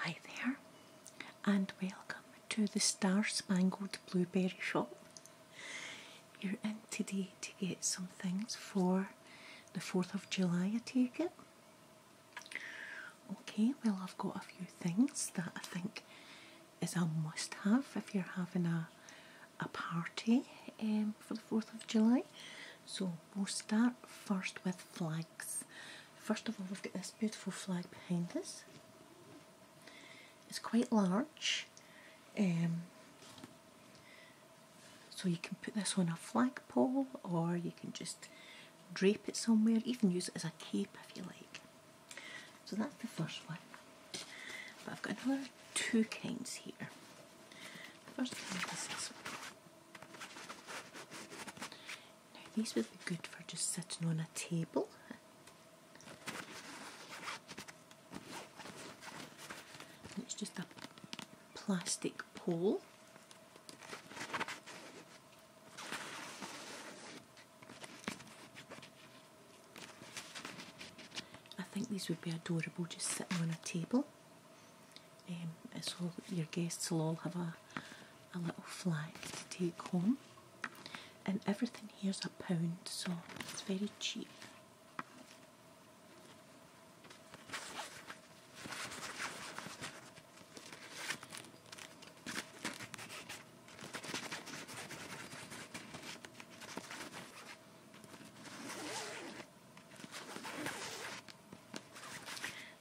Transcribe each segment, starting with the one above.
Hi there, and welcome to the Star Spangled Blueberry Shop. You're in today to get some things for the 4th of July, I take it. Okay, well, I've got a few things that I think is a must have if you're having a, a party um, for the 4th of July. So we'll start first with flags. First of all, we've got this beautiful flag behind us. It's quite large. Um, so you can put this on a flagpole or you can just drape it somewhere, even use it as a cape if you like. So that's the first one. But I've got another two kinds here. first kind is this one. Now these would be good for just sitting on a table. it's just a plastic pole I think these would be adorable just sitting on a table. Um, and so your guests will all have a, a little flag to take home. And everything here's a pound, so it's very cheap.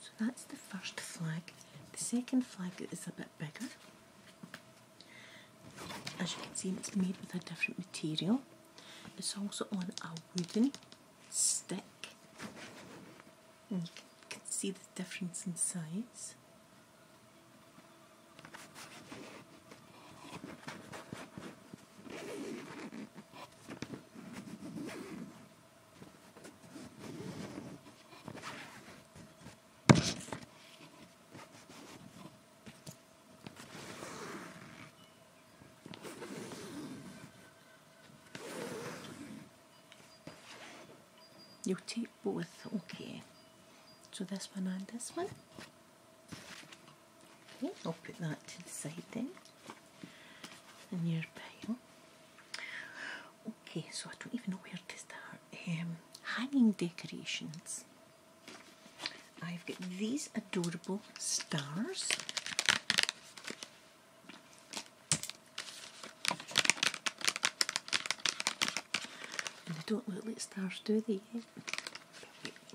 So that's the first flag. The second flag is a bit bigger. As you can see, it's made with a different material. It's also on a wooden stick and you can see the difference in size. You'll take both, okay. So this one and this one. Okay, I'll put that to the side then And your pile. Okay, so I don't even know where to start. Um, hanging decorations. I've got these adorable stars. And they don't look like stars, do they? Eh?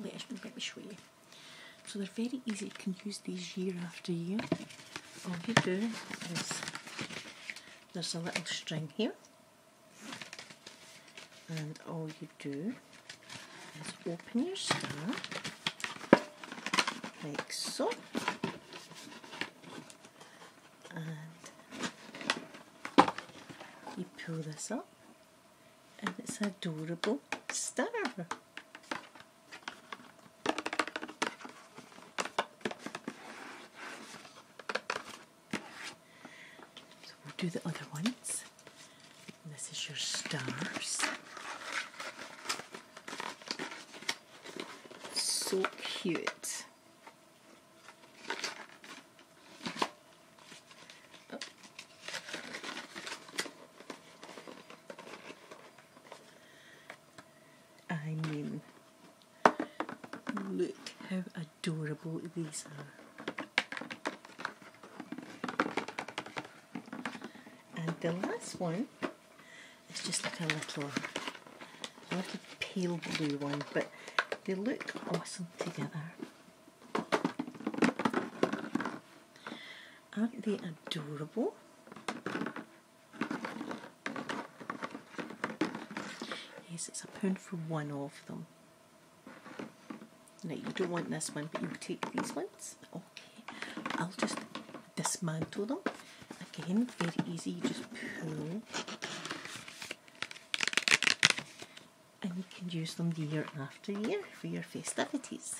let, me show you. So they're very easy, you can use these year after year. All you do is there's a little string here, and all you do is open your star like so and you pull this up and it's an adorable star so we'll do the other ones this is your stars so cute. Oh. I mean, look how adorable these are. And the last one is just like a little, a little pale blue one, but they look awesome together. Aren't they adorable? Yes, it's a pound for one of them. Now you don't want this one, but you take these ones. Okay, I'll just dismantle them. Again, very easy, just pull. And you can use them year after year for your festivities.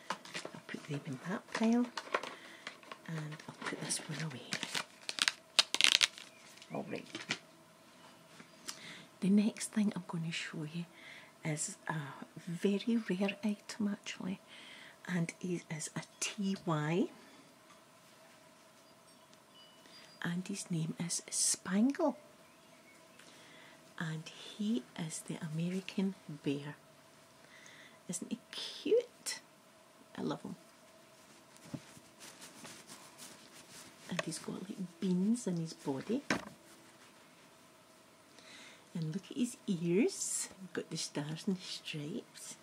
I'll put them in that pile and I'll put this one away. Alright. The next thing I'm going to show you is a very rare item actually and is a TY and his name is Spangle and he is the American bear. Isn't he cute? I love him. And he's got like beans in his body. And look at his ears. got the stars and stripes.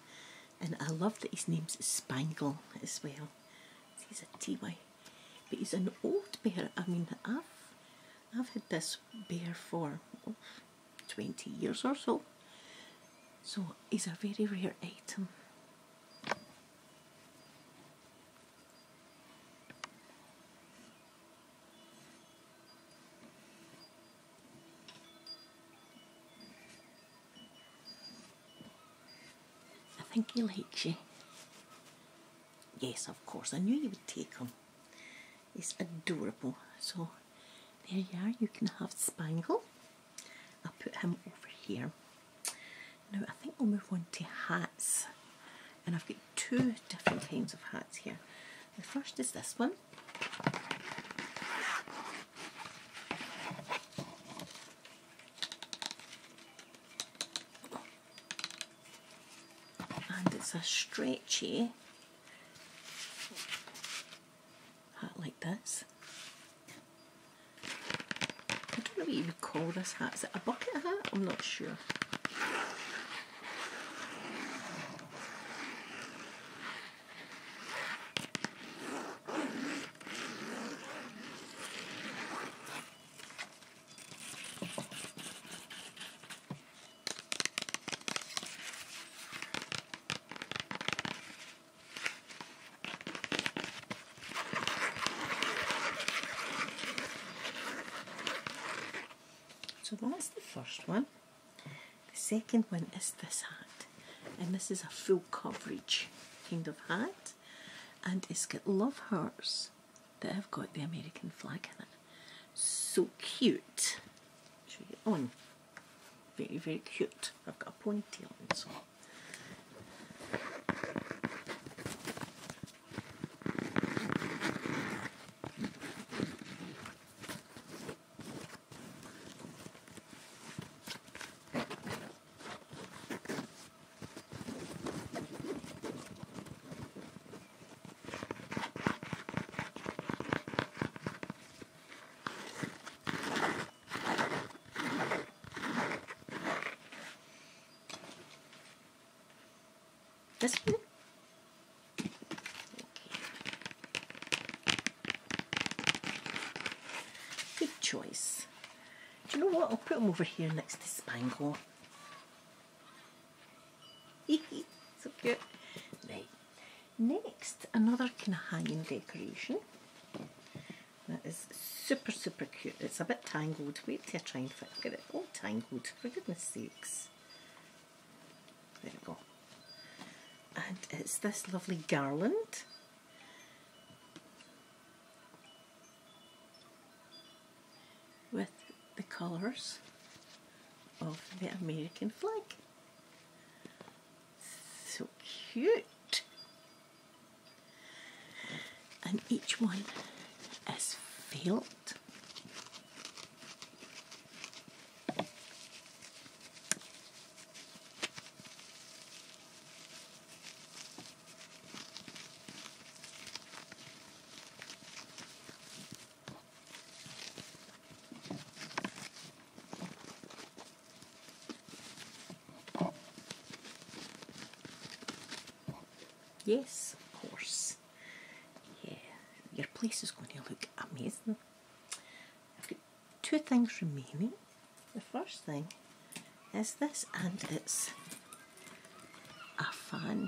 And I love that his name's Spangle as well. He's a TY. But he's an old bear. I mean, I've, I've had this bear for 20 years or so so it's a very rare item. I think he likes you. Yes, of course, I knew you would take him. He's adorable. So there you are, you can have Spangle. I'll put him over here. Now I think we'll move on to hats. And I've got two different kinds of hats here. The first is this one. And it's a stretchy uh, like this. I don't know what you would call this hat. Is it a bucket hat? I'm not sure. So that's the first one. The second one is this hat, and this is a full coverage kind of hat, and it's got love hearts that have got the American flag in it. So cute. Show you on. Very, very cute. I've got a ponytail and so this one? Good choice. Do you know what? I'll put them over here next to Spangle. so cute. Right. Next, another kind of hanging decoration that is super, super cute. It's a bit tangled. Wait till I trying to get it. all oh, tangled, for goodness sakes. There we go. And it's this lovely garland. with the colours of the American flag. So cute. And each one is felt. Yes, of course. Yeah, your place is going to look amazing. I've got two things remaining. The first thing is this, and it's a fan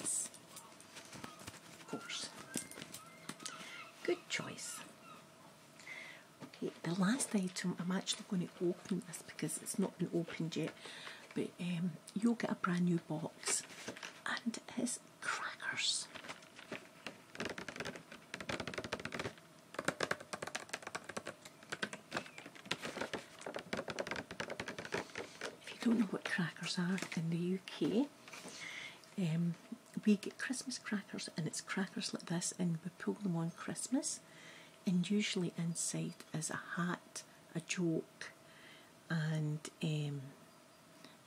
Yes. Of course. Good choice. Okay, the last item, I'm actually going to open this because it's not been opened yet, but um, you'll get a brand new box and it is crackers. If you don't know what crackers are in the UK, um, we get Christmas crackers, and it's crackers like this, and we pull them on Christmas. And usually inside is a hat, a joke, and um,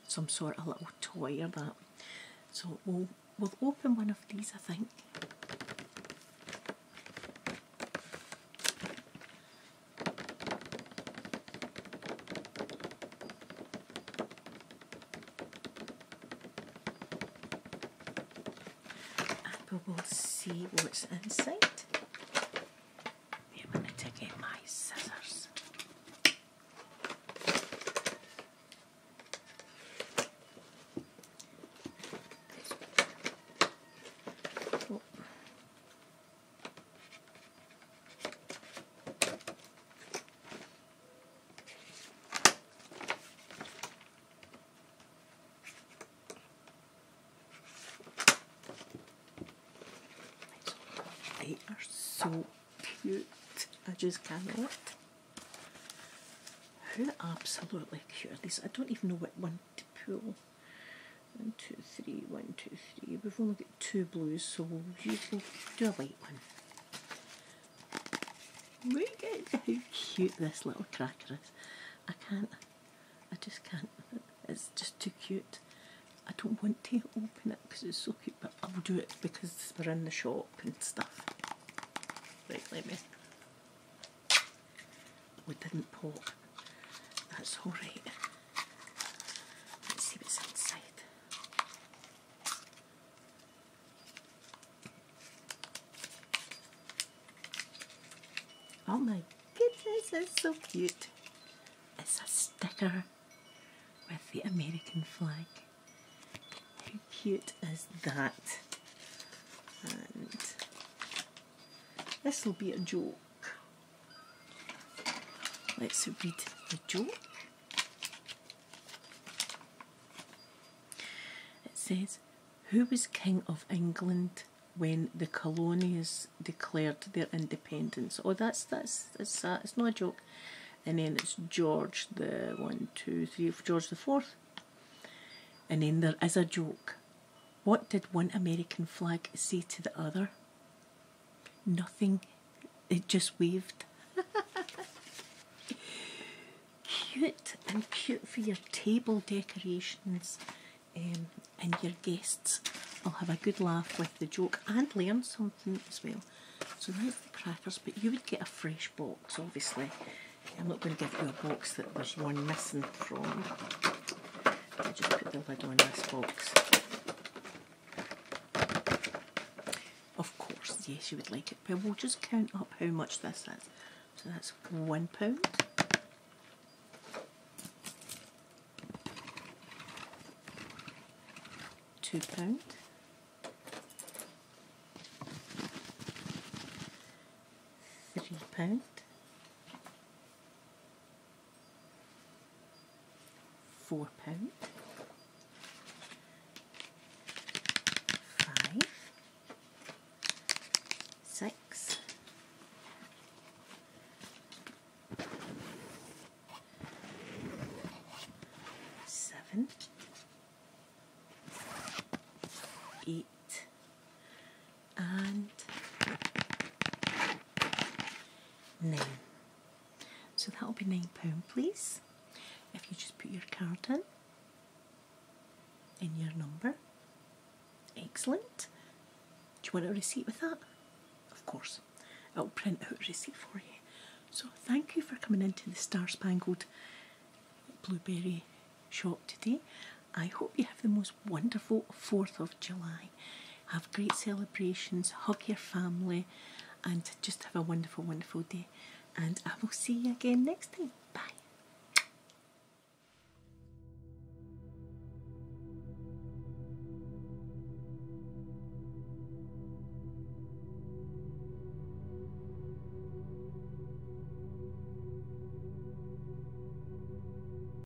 some sort of little toy or that. So we'll we'll open one of these, I think but we'll see what's inside. I'm going to get my scissors. They are so cute. I just cannot. How absolutely cute are these? I don't even know what one to pull. One, two, three, one, two, three. We've only got two blues, so we'll usually do a white one. Look at how cute this little cracker is. I can't, I just can't, it's just too cute. I don't want to open it because it's so cute, but I'll do it because we're in the shop and stuff. Right, let me. We didn't pop. That's alright. Let's see what's inside. Oh my goodness, that's so cute. It's a sticker with the American flag. How cute is that? this will be a joke. Let's read the joke. It says, Who was King of England when the colonies declared their independence? Oh, that's, that's, it's not a joke. And then it's George the one, two, three, George the fourth. And then there is a joke. What did one American flag say to the other? Nothing, it just waved. cute and cute for your table decorations um, and your guests. I'll have a good laugh with the joke and learn something as well. So that's the crackers, but you would get a fresh box, obviously. I'm not going to give you a box that there's one missing from. i just put the lid on this box. Of course, yes, you would like it. But we'll just count up how much this is. So that's one pound. Two pound. Three pound four pound, five, six, seven, eight, and Nine. So that'll be £9, please. If you just put your card in and your number. Excellent. Do you want a receipt with that? Of course. I'll print out a receipt for you. So thank you for coming into the Star Spangled Blueberry shop today. I hope you have the most wonderful 4th of July. Have great celebrations, hug your family, and just have a wonderful, wonderful day. And I will see you again next time. Bye.